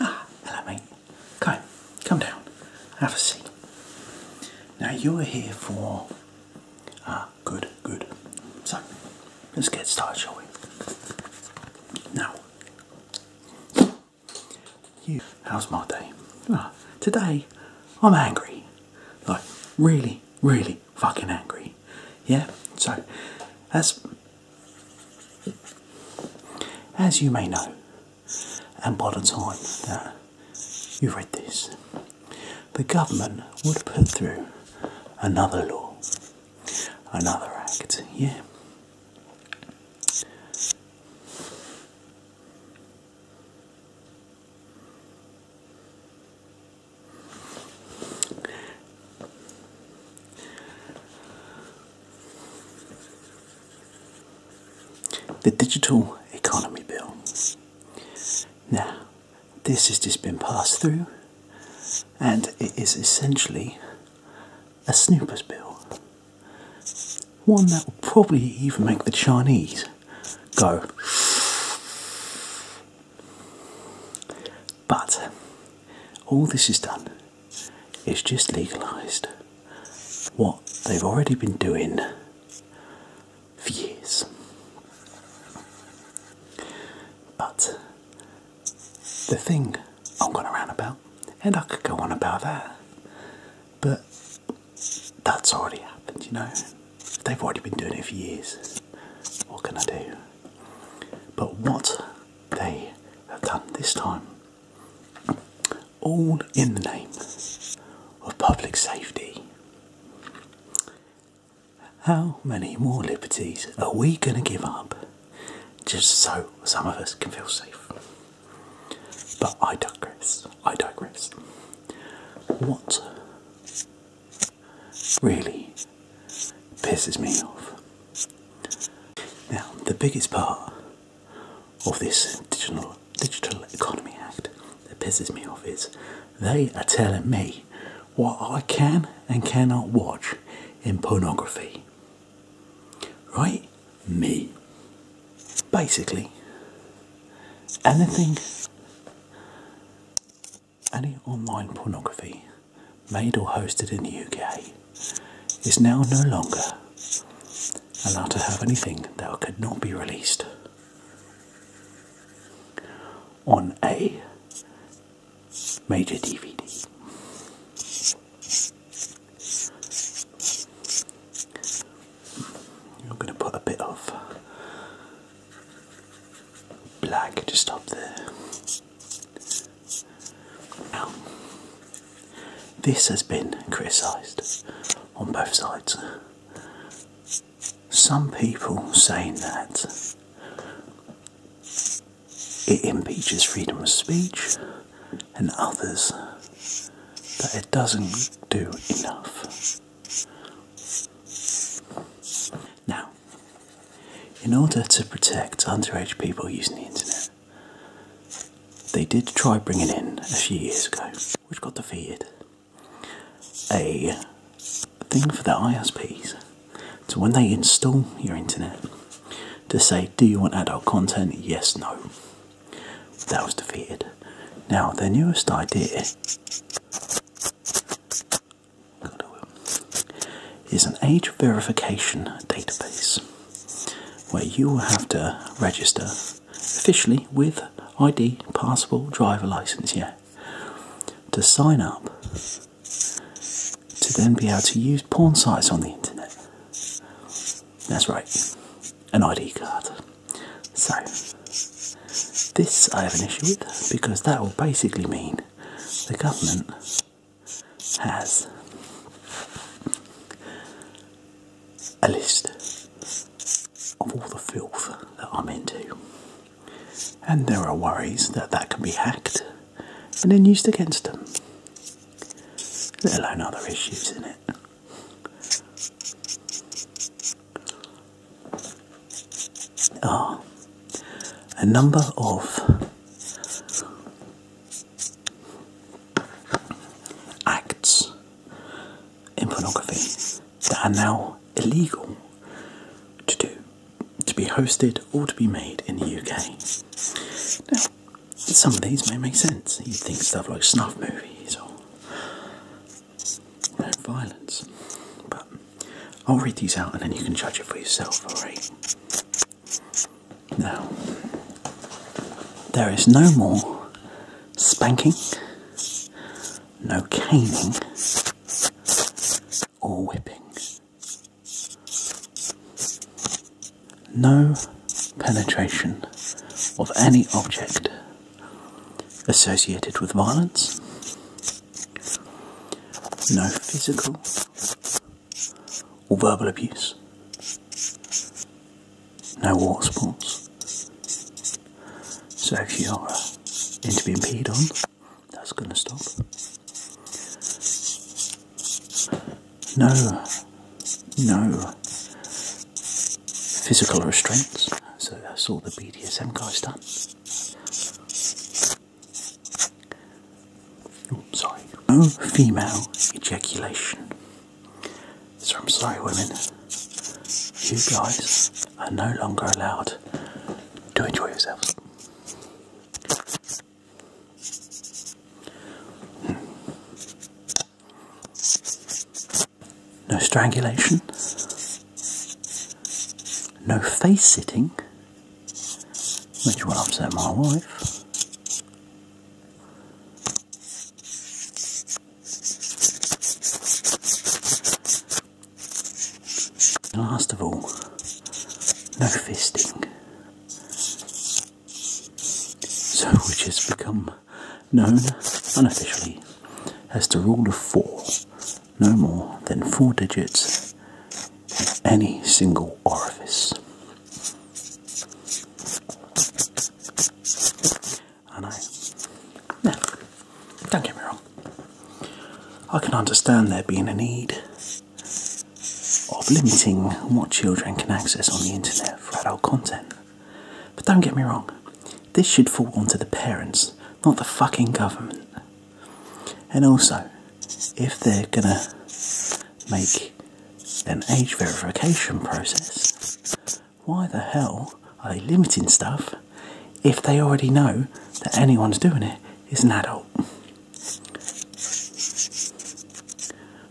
Ah, hello mate. Come, come down. Have a seat. Now you're here for... Ah, good, good. So, let's get started, shall we? Now, you, how's my day? Ah, today, I'm angry. Like, really, really fucking angry. Yeah? So, as, as you may know, and by the time that you read this, the government would put through another law, another act, yeah. The Digital Economy Bill. Now, this has just been passed through, and it is essentially a snooper's bill. One that will probably even make the Chinese go. But all this is done It's just legalised what they've already been doing for years. But the thing I'm going to rant about, and I could go on about that, but that's already happened, you know. They've already been doing it for years. What can I do? But what they have done this time, all in the name of public safety. How many more liberties are we going to give up just so some of us can feel safe? But I digress. I digress. What really pisses me off. Now, the biggest part of this digital, digital Economy Act that pisses me off is they are telling me what I can and cannot watch in pornography. Right? me. Basically, anything, any online pornography made or hosted in the UK is now no longer allowed to have anything that could not be released on a major DVD. I'm going to put a bit of black just up there. this has been criticised on both sides. Some people saying that it impeaches freedom of speech and others that it doesn't do enough. Now, in order to protect underage people using the internet, they did try bringing in a few years ago, which got the defeated, a thing for the ISPs to when they install your internet to say, Do you want adult content? Yes, no that was defeated. Now, their newest idea is an age verification database where you will have to register officially with ID, passport, driver license, yeah, to sign up to then be able to use porn sites on the internet. That's right, an ID card. So, this I have an issue with because that will basically mean the government has a list of all the filth that I'm into. And there are worries that that can be hacked and then used against them, let alone other issues in it are ah, a number of acts in pornography that are now illegal to do, to be hosted or to be made in the UK some of these may make sense. You'd think stuff like snuff movies or violence. But I'll read these out and then you can judge it for yourself, alright? Now, there is no more spanking, no caning, or whipping no penetration of any object associated with violence, no physical or verbal abuse, no war sports. So if you're uh, into being peed on, that's going to stop no, no physical restraints. So that's all the BDSM guy's done. sorry. No female ejaculation. So I'm sorry, women. You guys are no longer allowed to enjoy yourselves. No strangulation. No face sitting, which will upset my wife. Last of all, no fisting. So, which has become known unofficially as the rule of four no more than four digits in any single orifice. I know. Now, don't get me wrong, I can understand there being a need of limiting what children can access on the internet for adult content. But don't get me wrong, this should fall onto the parents, not the fucking government. And also, if they're gonna make an age verification process, why the hell are they limiting stuff if they already know that anyone's doing it is an adult?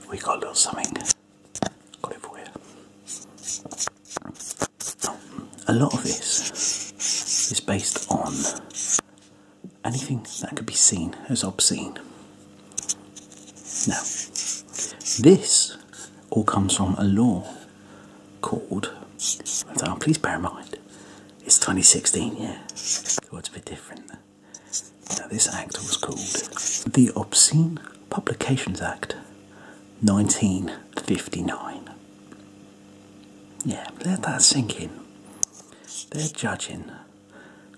We got a little something. Got it for you. a lot of this is based on anything that could be seen as obscene. Now, this all comes from a law called, please bear in mind, it's 2016, yeah, it's a bit different. Now, this act was called the Obscene Publications Act 1959. Yeah, let that sink in. They're judging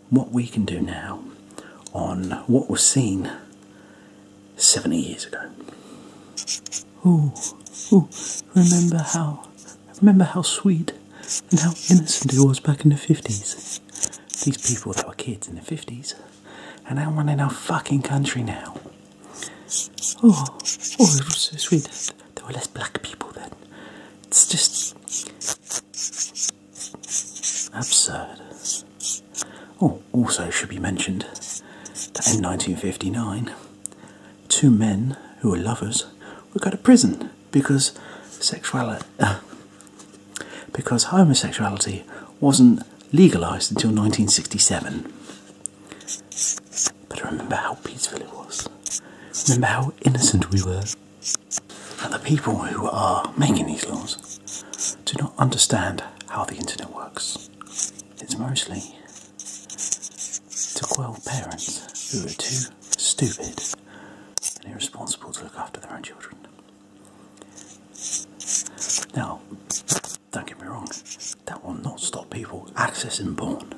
what we can do now on what was seen 70 years ago. Oh, remember how Remember how sweet and how innocent it was back in the 50s? These people that were kids in the 50s are now running our fucking country now. Oh, oh, it was so sweet. There were less black people then. It's just absurd. Oh, also should be mentioned that in 1959, two men who were lovers were go to prison because sexuality, because homosexuality wasn't legalized until 1967. But remember how peaceful it was. Remember how innocent we were. And the people who are making these laws do not understand how the internet works. It's mostly to quell parents who are too stupid and irresponsible to look after their own children. Now, don't get me wrong, that will not stop people accessing porn.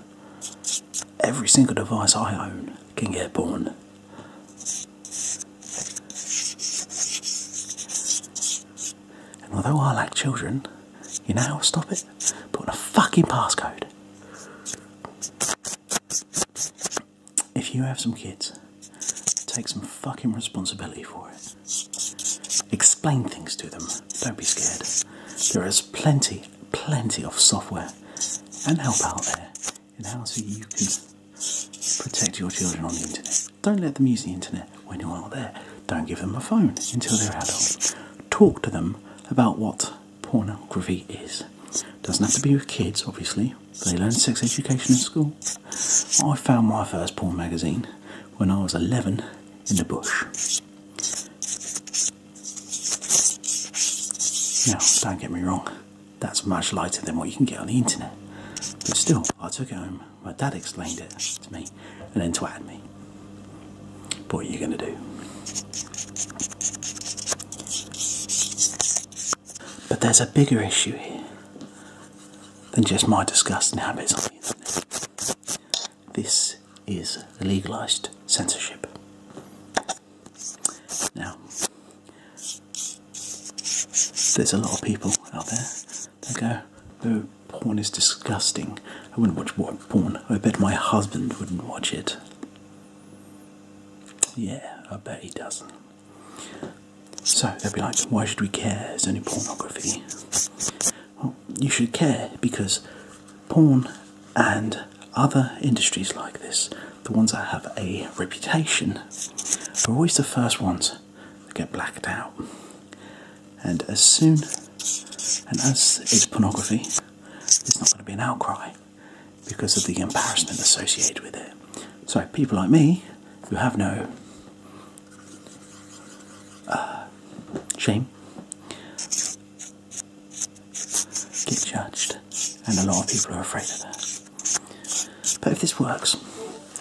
Every single device I own can get porn. And although I lack children, you know stop it? Putting a fucking passcode if you have some kids, take some fucking responsibility for it. Explain things to them. Don't be scared. There is plenty, plenty of software and help out there in how so you can protect your children on the internet. Don't let them use the internet when you're not there. Don't give them a phone until they're adults. Talk to them about what pornography is. Doesn't have to be with kids, obviously. They learn sex education in school. I found my first porn magazine when I was 11 in the bush. Now, don't get me wrong, that's much lighter than what you can get on the internet. But still, I took it home. My dad explained it to me and then twat me. what are you going to do? But there's a bigger issue here than just my disgusting habits This is legalised censorship. Now, there's a lot of people out there that go, Porn is disgusting. I wouldn't watch porn. I bet my husband wouldn't watch it. Yeah, I bet he doesn't. So they'll be like, why should we care? It's only pornography. Well, you should care because porn and other industries like this, the ones that have a reputation, are always the first ones that get blacked out. And as soon and as it's pornography, there's not going to be an outcry because of the embarrassment associated with it. So people like me, who have no uh, shame, get judged, and a lot of people are afraid of that. But if this works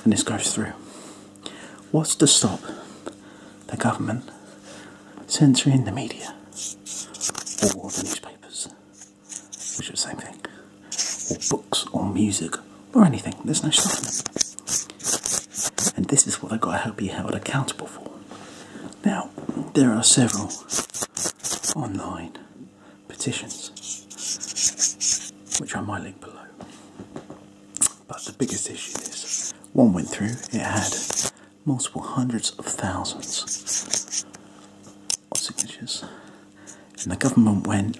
and this goes through, what's to stop the government censoring the media or the newspapers, which is the same thing, or books or music or anything. There's no stopping it. And this is what i have got to help be held accountable for. Now, there are several online petitions, which I might link below. But the biggest issue is one went through, it had multiple hundreds of thousands of signatures. And the government went,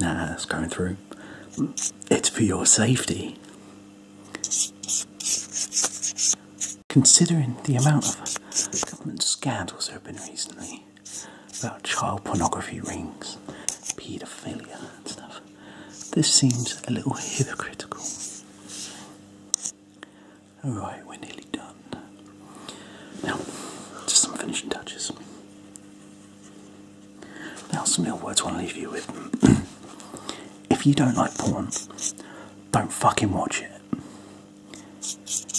nah, it's going through. It's for your safety. Considering the amount of government scandals there have been recently about child pornography rings, paedophilia and stuff, this seems a little hypocritical. Alright, we're nearly done. Now, just some finishing touches. Now, some little words I want to leave you with. if you don't like porn, don't fucking watch it.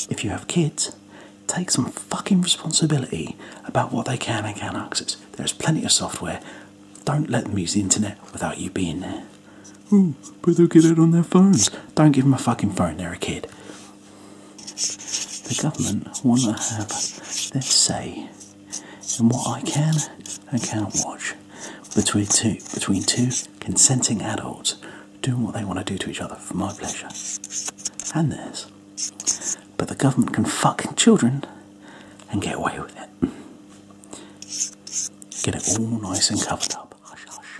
If you have kids, take some fucking responsibility about what they can and can't access. There's plenty of software. Don't let them use the internet without you being there. Ooh, but they'll get it on their phones. Don't give them a fucking phone, they're a kid. The government want to have their say and what I can and can't watch between two, between two consenting adults doing what they want to do to each other for my pleasure and theirs. But the government can fucking children and get away with it. Get it all nice and covered up. Hush, hush.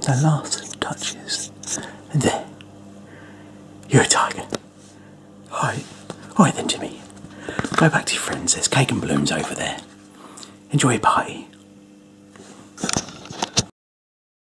the last touches. And there. You're a tiger. Hi, hi then, Jimmy. Go back to your friends. There's cake and balloons over there. Enjoy your party.